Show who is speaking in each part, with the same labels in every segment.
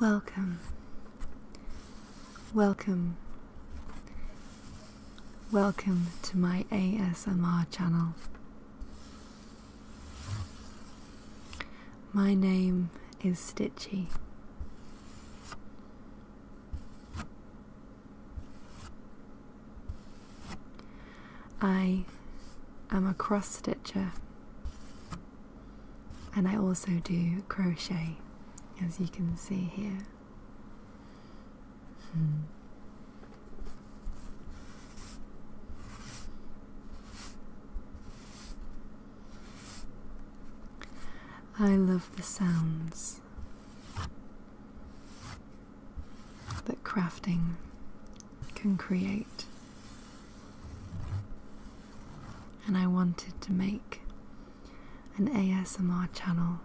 Speaker 1: Welcome, welcome, welcome to my ASMR channel. My name is Stitchy. I am a cross stitcher and I also do crochet, as you can see here. Hmm. I love the sounds that crafting can create. And I wanted to make an ASMR channel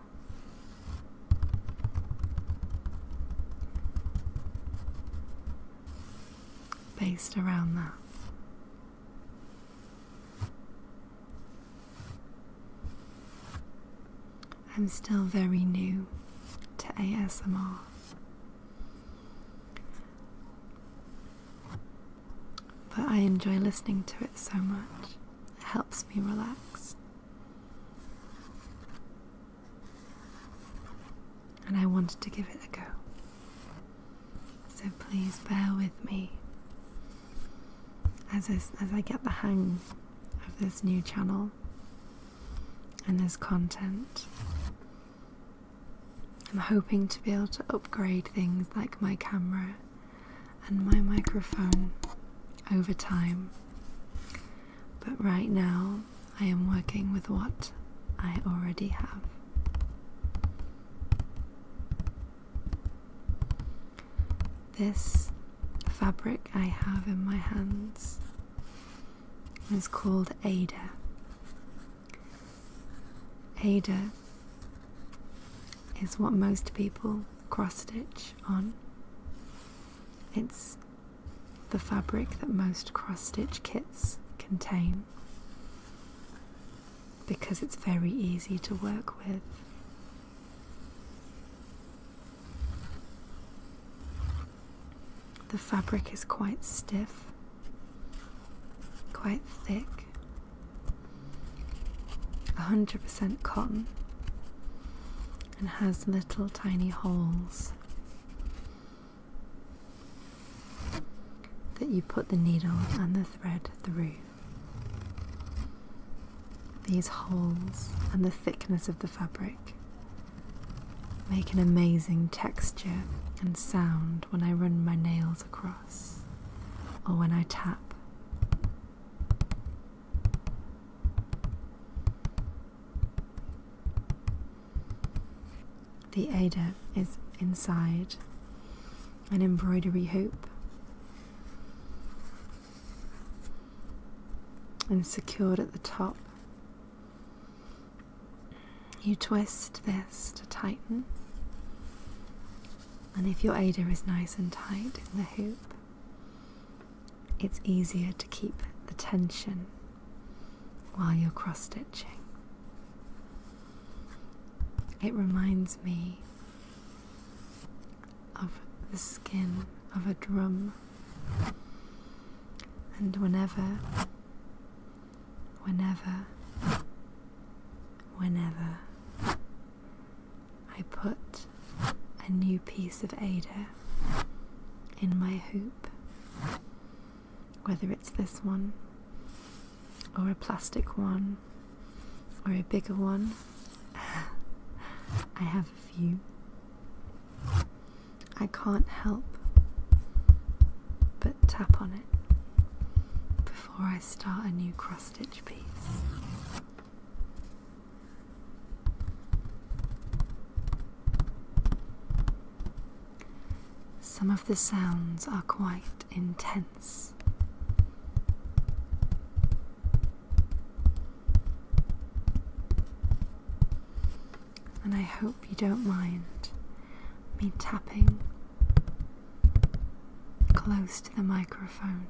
Speaker 1: based around that. I'm still very new to ASMR. But I enjoy listening to it so much, it helps me relax. And I wanted to give it a go. So please bear with me as I, as I get the hang of this new channel and there's content. I'm hoping to be able to upgrade things like my camera and my microphone over time, but right now I am working with what I already have. This fabric I have in my hands was called Ada. Ada is what most people cross stitch on. It's the fabric that most cross stitch kits contain because it's very easy to work with. The fabric is quite stiff, quite thick, 100% cotton, and has little tiny holes that you put the needle and the thread through. These holes and the thickness of the fabric, make an amazing texture and sound when I run my nails across or when I tap. The Ada is inside an embroidery hoop and secured at the top. You twist this to tighten, and if your Ada is nice and tight in the hoop, it's easier to keep the tension while you're cross stitching. It reminds me of the skin of a drum. And whenever, whenever, whenever I put a new piece of Ada in my hoop, whether it's this one, or a plastic one, or a bigger one, I have a few. I can't help but tap on it before I start a new cross stitch piece. Some of the sounds are quite intense. And I hope you don't mind me tapping close to the microphone.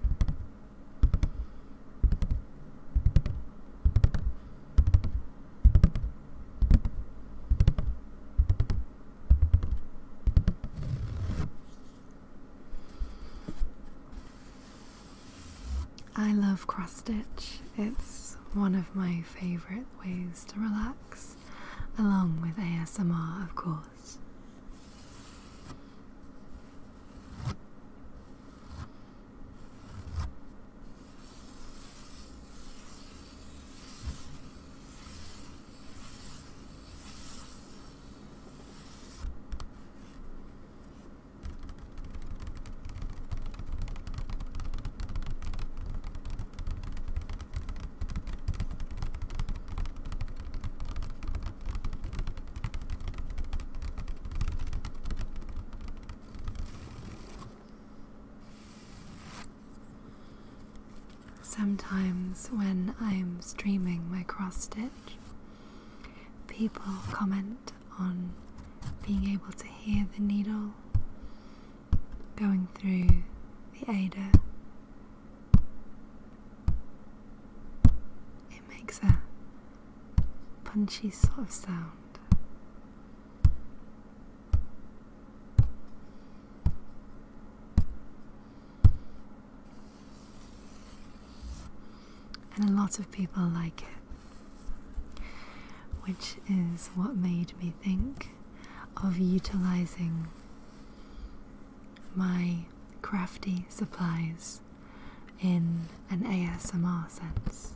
Speaker 1: I love cross stitch. It's one of my favourite ways to relax, along with ASMR, of course. Sometimes, when I'm streaming my cross stitch, People comment on being able to hear the needle going through the Ader. It makes a punchy sort of sound. And a lot of people like it, which is what made me think of utilizing my crafty supplies in an ASMR sense.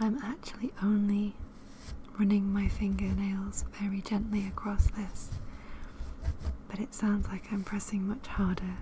Speaker 1: I'm actually only running my fingernails very gently across this, but it sounds like I'm pressing much harder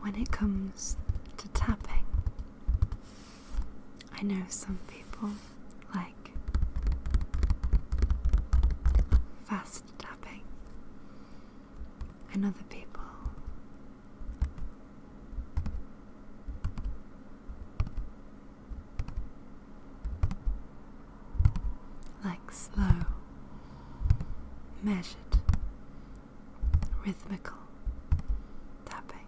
Speaker 1: when it comes to tapping, I know some people like fast tapping and other people. Like slow, measured, rhythmical tapping.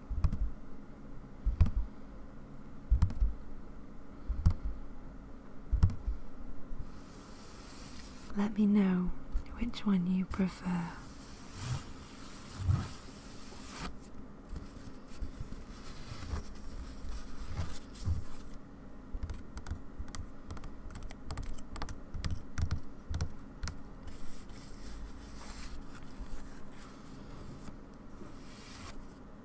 Speaker 1: Let me know which one you prefer.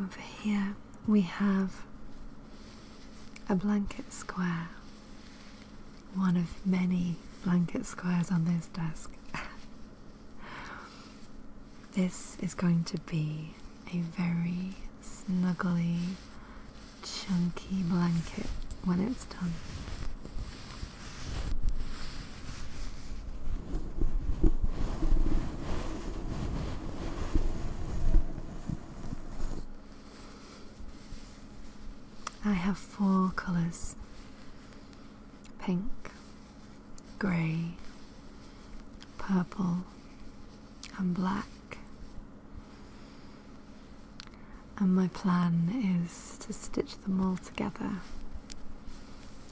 Speaker 1: Over here we have a blanket square, one of many blanket squares on this desk. this is going to be a very snuggly chunky blanket when it's done. I have four colours pink, grey, purple, I'm black. And my plan is to stitch them all together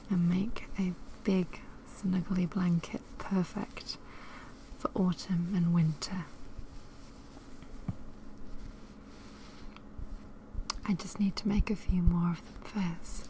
Speaker 1: and make a big snuggly blanket perfect for autumn and winter. I just need to make a few more of them first.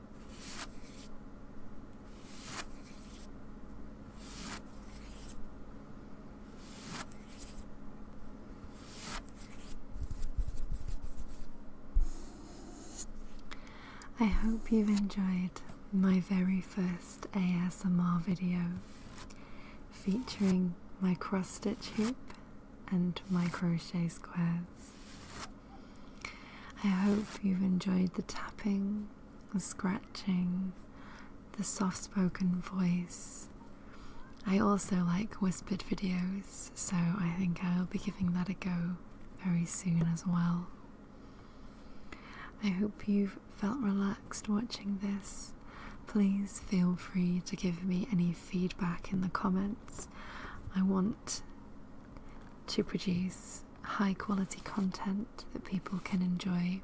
Speaker 1: I hope you've enjoyed my very first ASMR video featuring my cross stitch hoop and my crochet squares. I hope you've enjoyed the tapping, the scratching, the soft spoken voice. I also like whispered videos, so I think I'll be giving that a go very soon as well. I hope you've felt relaxed watching this. Please feel free to give me any feedback in the comments. I want to produce high quality content that people can enjoy.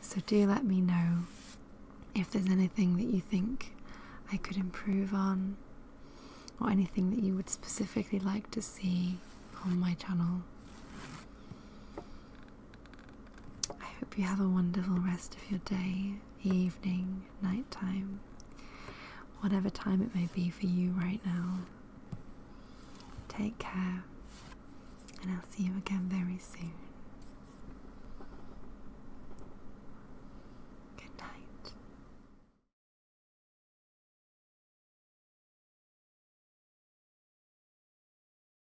Speaker 1: So, do let me know if there's anything that you think I could improve on, or anything that you would specifically like to see on my channel. I hope you have a wonderful rest of your day, evening, nighttime, whatever time it may be for you right now. Take care, and I'll see you again very soon. Good night.